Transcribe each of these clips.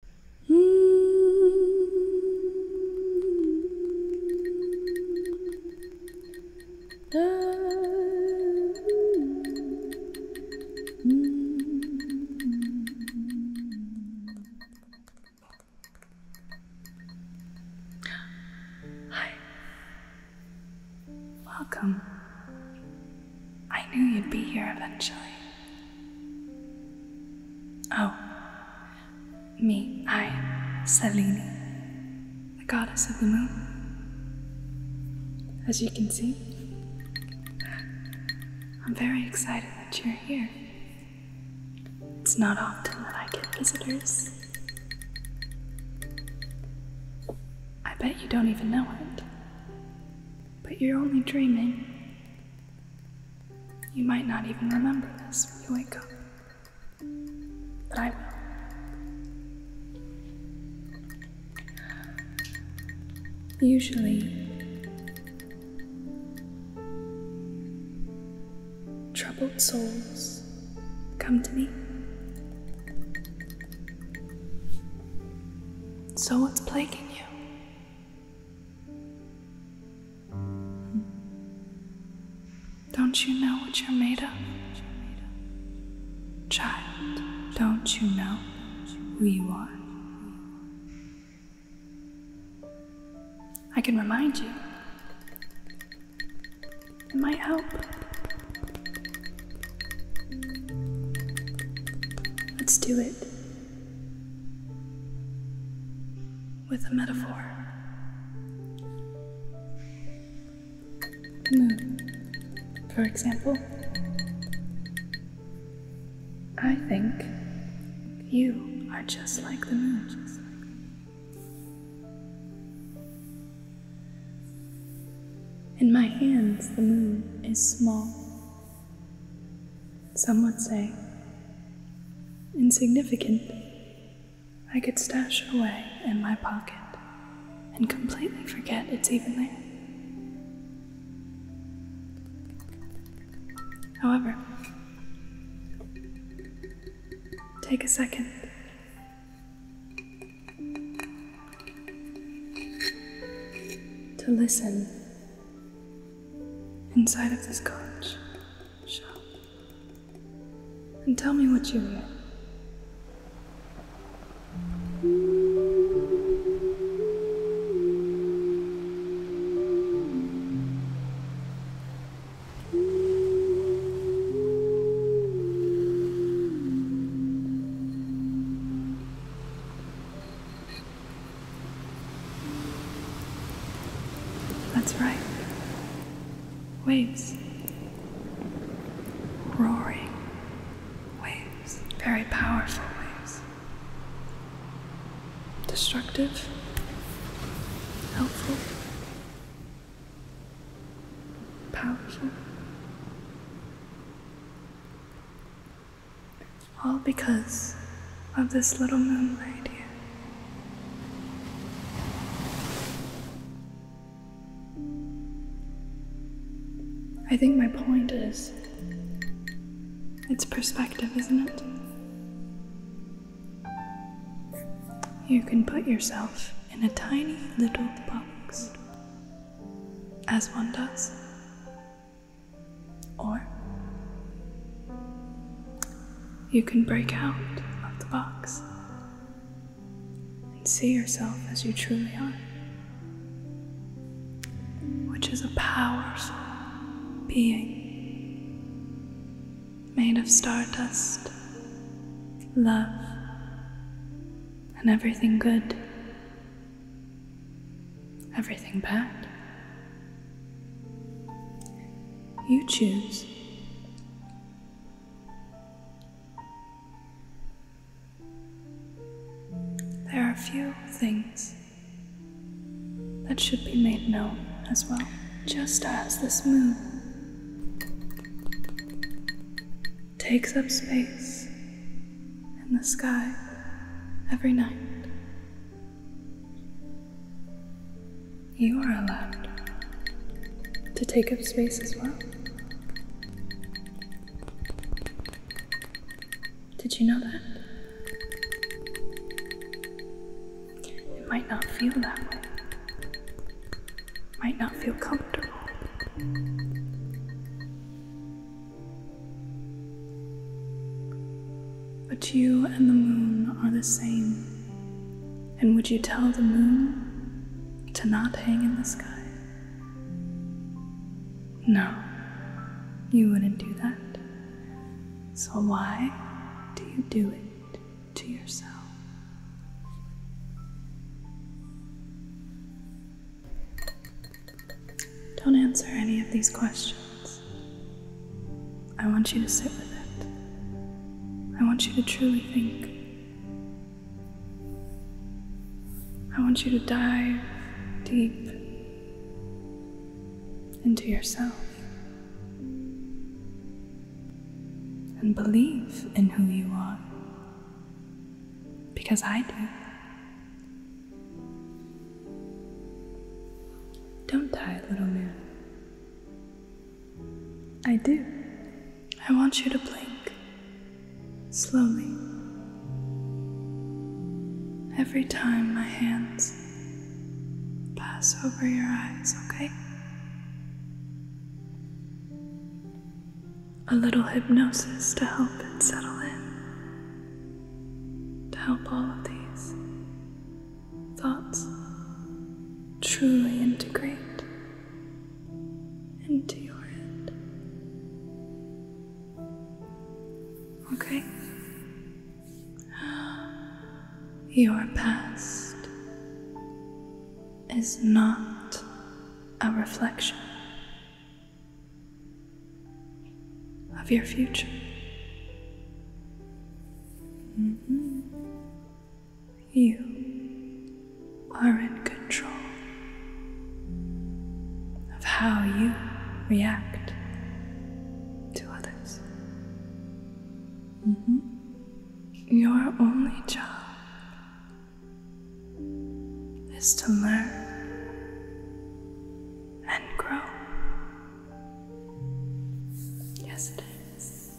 Hi. Welcome. I knew you'd be here eventually. Oh, me, I, Selene, the goddess of the moon. As you can see, I'm very excited that you're here. It's not often that I get visitors. I bet you don't even know it, but you're only dreaming you might not even remember this when you wake up, but I will. Usually, troubled souls come to me. So, what's plaguing you? Don't you know what you're made of? Child, don't you know who you are? I can remind you. It might help. Let's do it with a metaphor. Moon, hmm. for example. I think you are just like the moon. In my hands, the moon is small some would say, insignificant, I could stash it away in my pocket and completely forget it's even there. However, take a second. To listen inside of this cottage shop and tell me what you hear. That's right. Waves. Roaring waves. Very powerful waves. Destructive. Helpful. Powerful. All because of this little moonlight here. I think my point is it's perspective, isn't it? You can put yourself in a tiny little box, as one does, or you can break out of the box and see yourself as you truly are, which is a powerful being made of stardust, love, and everything good everything back. You choose. There are few things that should be made known as well, just as this moon takes up space in the sky every night. You are allowed to take up space as well. Did you know that? It might not feel that way. Might not feel comfortable. But you and the moon are the same. And would you tell the moon to not hang in the sky? No, you wouldn't do that. So why do you do it to yourself? Don't answer any of these questions. I want you to sit with it. I want you to truly think. I want you to dive deep into yourself and believe in who you are. Because I do. Don't die, little man. I do. I want you to blink. Slowly. Every time my hands pass over your eyes, okay? A little hypnosis to help it settle in to help all of these thoughts truly integrate into your head. Okay? Your past is not a reflection of your future. Mm-hmm. You are in control of how you react to others. Mm-hmm. Your only job is to learn and grow Yes, it is.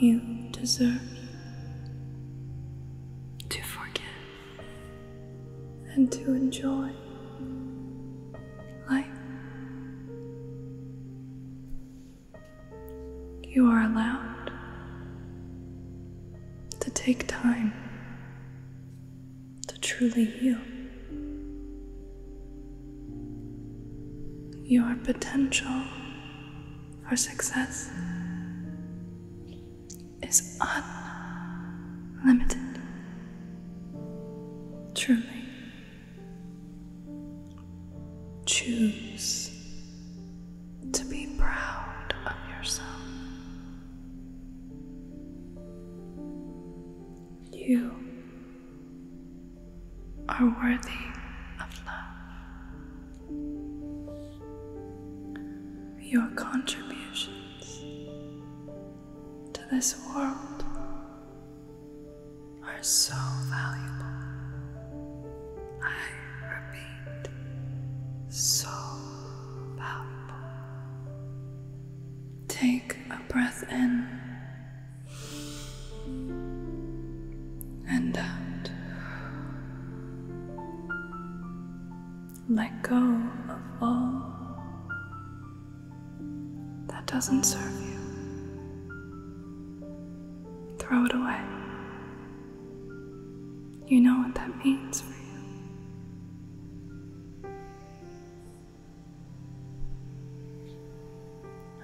You deserve to forgive and to enjoy life. You are allowed to take time to truly heal. Your potential for success is unlimited. Truly. Choose to be proud of yourself. You are worthy of love. Your contributions to this world are so valuable. I repeat, so Take a breath in and out. Let go of all that doesn't serve you. Throw it away. You know what that means for you.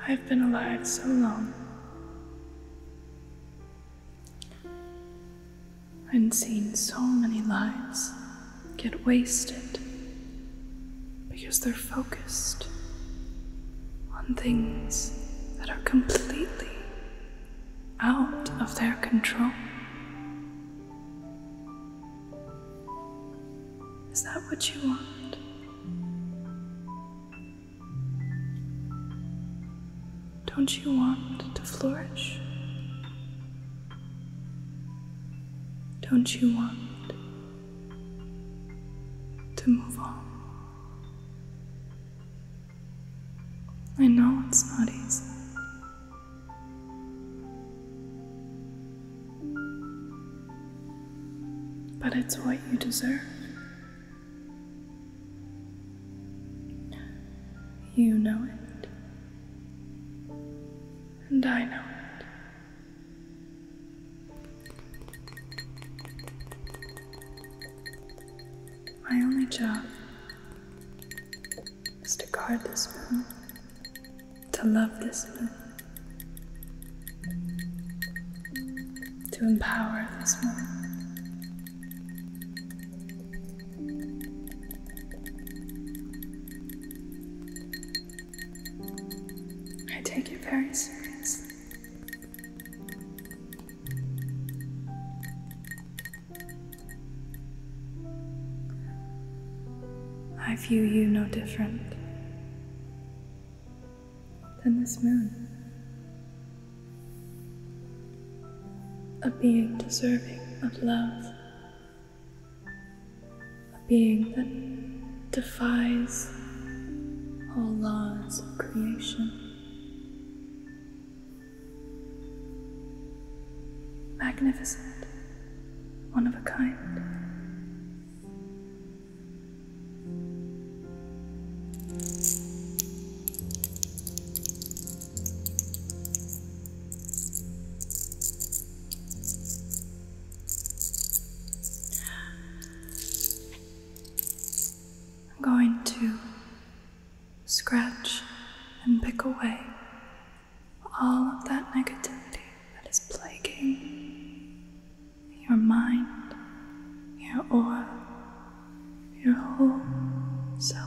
I've been alive so long. and seen so many lives get wasted because they're focused on things that are completely out of their control. Is that what you want? Don't you want to flourish? Don't you want to move on? I know it's not easy. But it's what you deserve. You know it. And I know it. My only job is to guard this one, to love this one, to empower this one. I take it very seriously. I view you no different than this moon. A being deserving of love, a being that defies all laws of creation. Magnificent, one of a kind. I'm going to Scratch and pick away all of that negativity that is plaguing your mind, your aura, your whole self.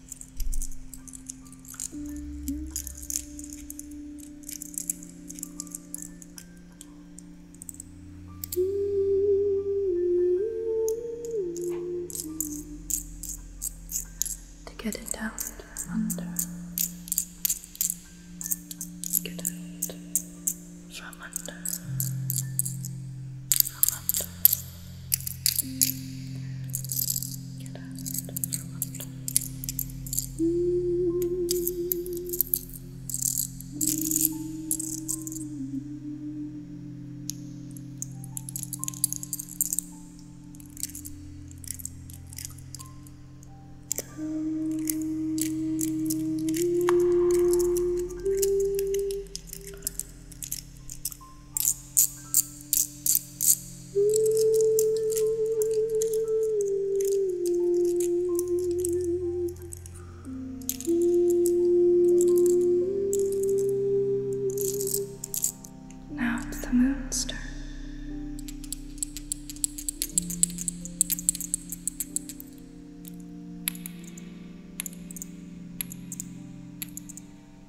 to get it out from under, get out from under, from under. Get out from now it's the moon's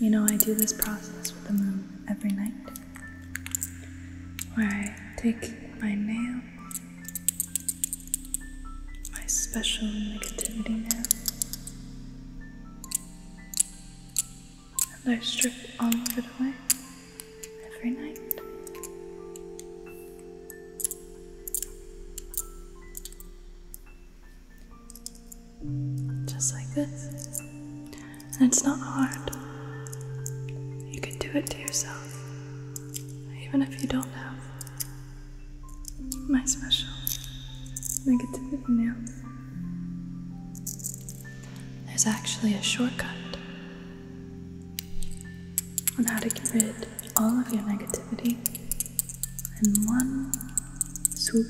You know, I do this process with the moon every night where I take my nail, my special negativity nail, and I strip all of it away every night. Just like this. And it's not hard. You can do it to yourself, even if you don't have my special negativity nail. There's actually a shortcut on how to get rid all of your negativity in one swoop.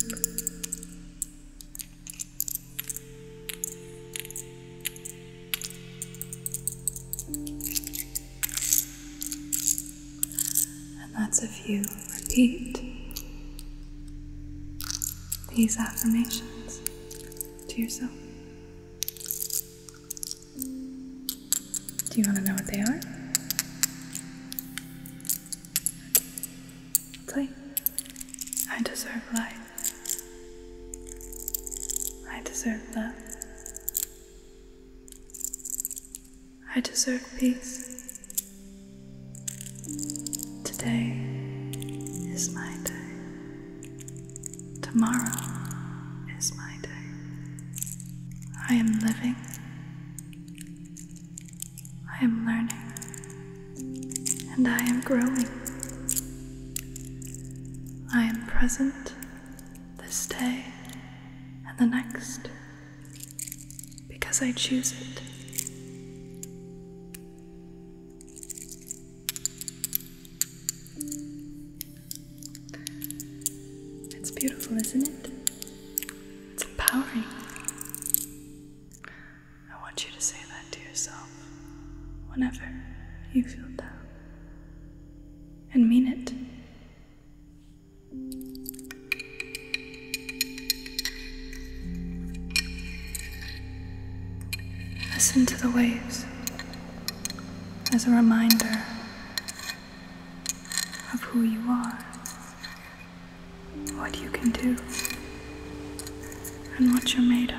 And that's a few. repeat these affirmations to yourself. Do you want to know what they are? Play. I deserve life. I deserve love. I deserve peace. Today is my day. Tomorrow is my day. I am living I am learning and I am growing. I am present this day and the next because I choose it. It's beautiful, isn't it? It's empowering. I want you to say that to yourself whenever you feel down and mean it. Listen to the waves as a reminder of who you are, what you can do, and what you're made of.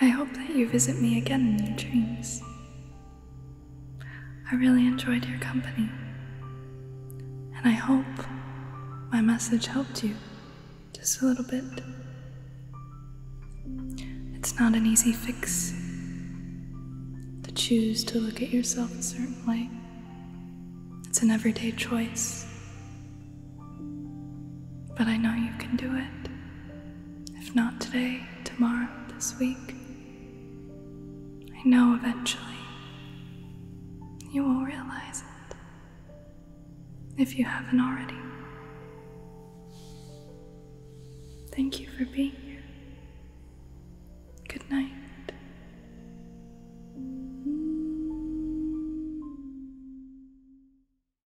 I hope that you visit me again in your dreams. I really enjoyed your company, and I hope my message helped you just a little bit. It's not an easy fix to choose to look at yourself a certain way, it's an everyday choice. But I know you can do it. If not today, tomorrow, this week, I know eventually you will realize it. If you haven't already. Thank you for being here. Good night.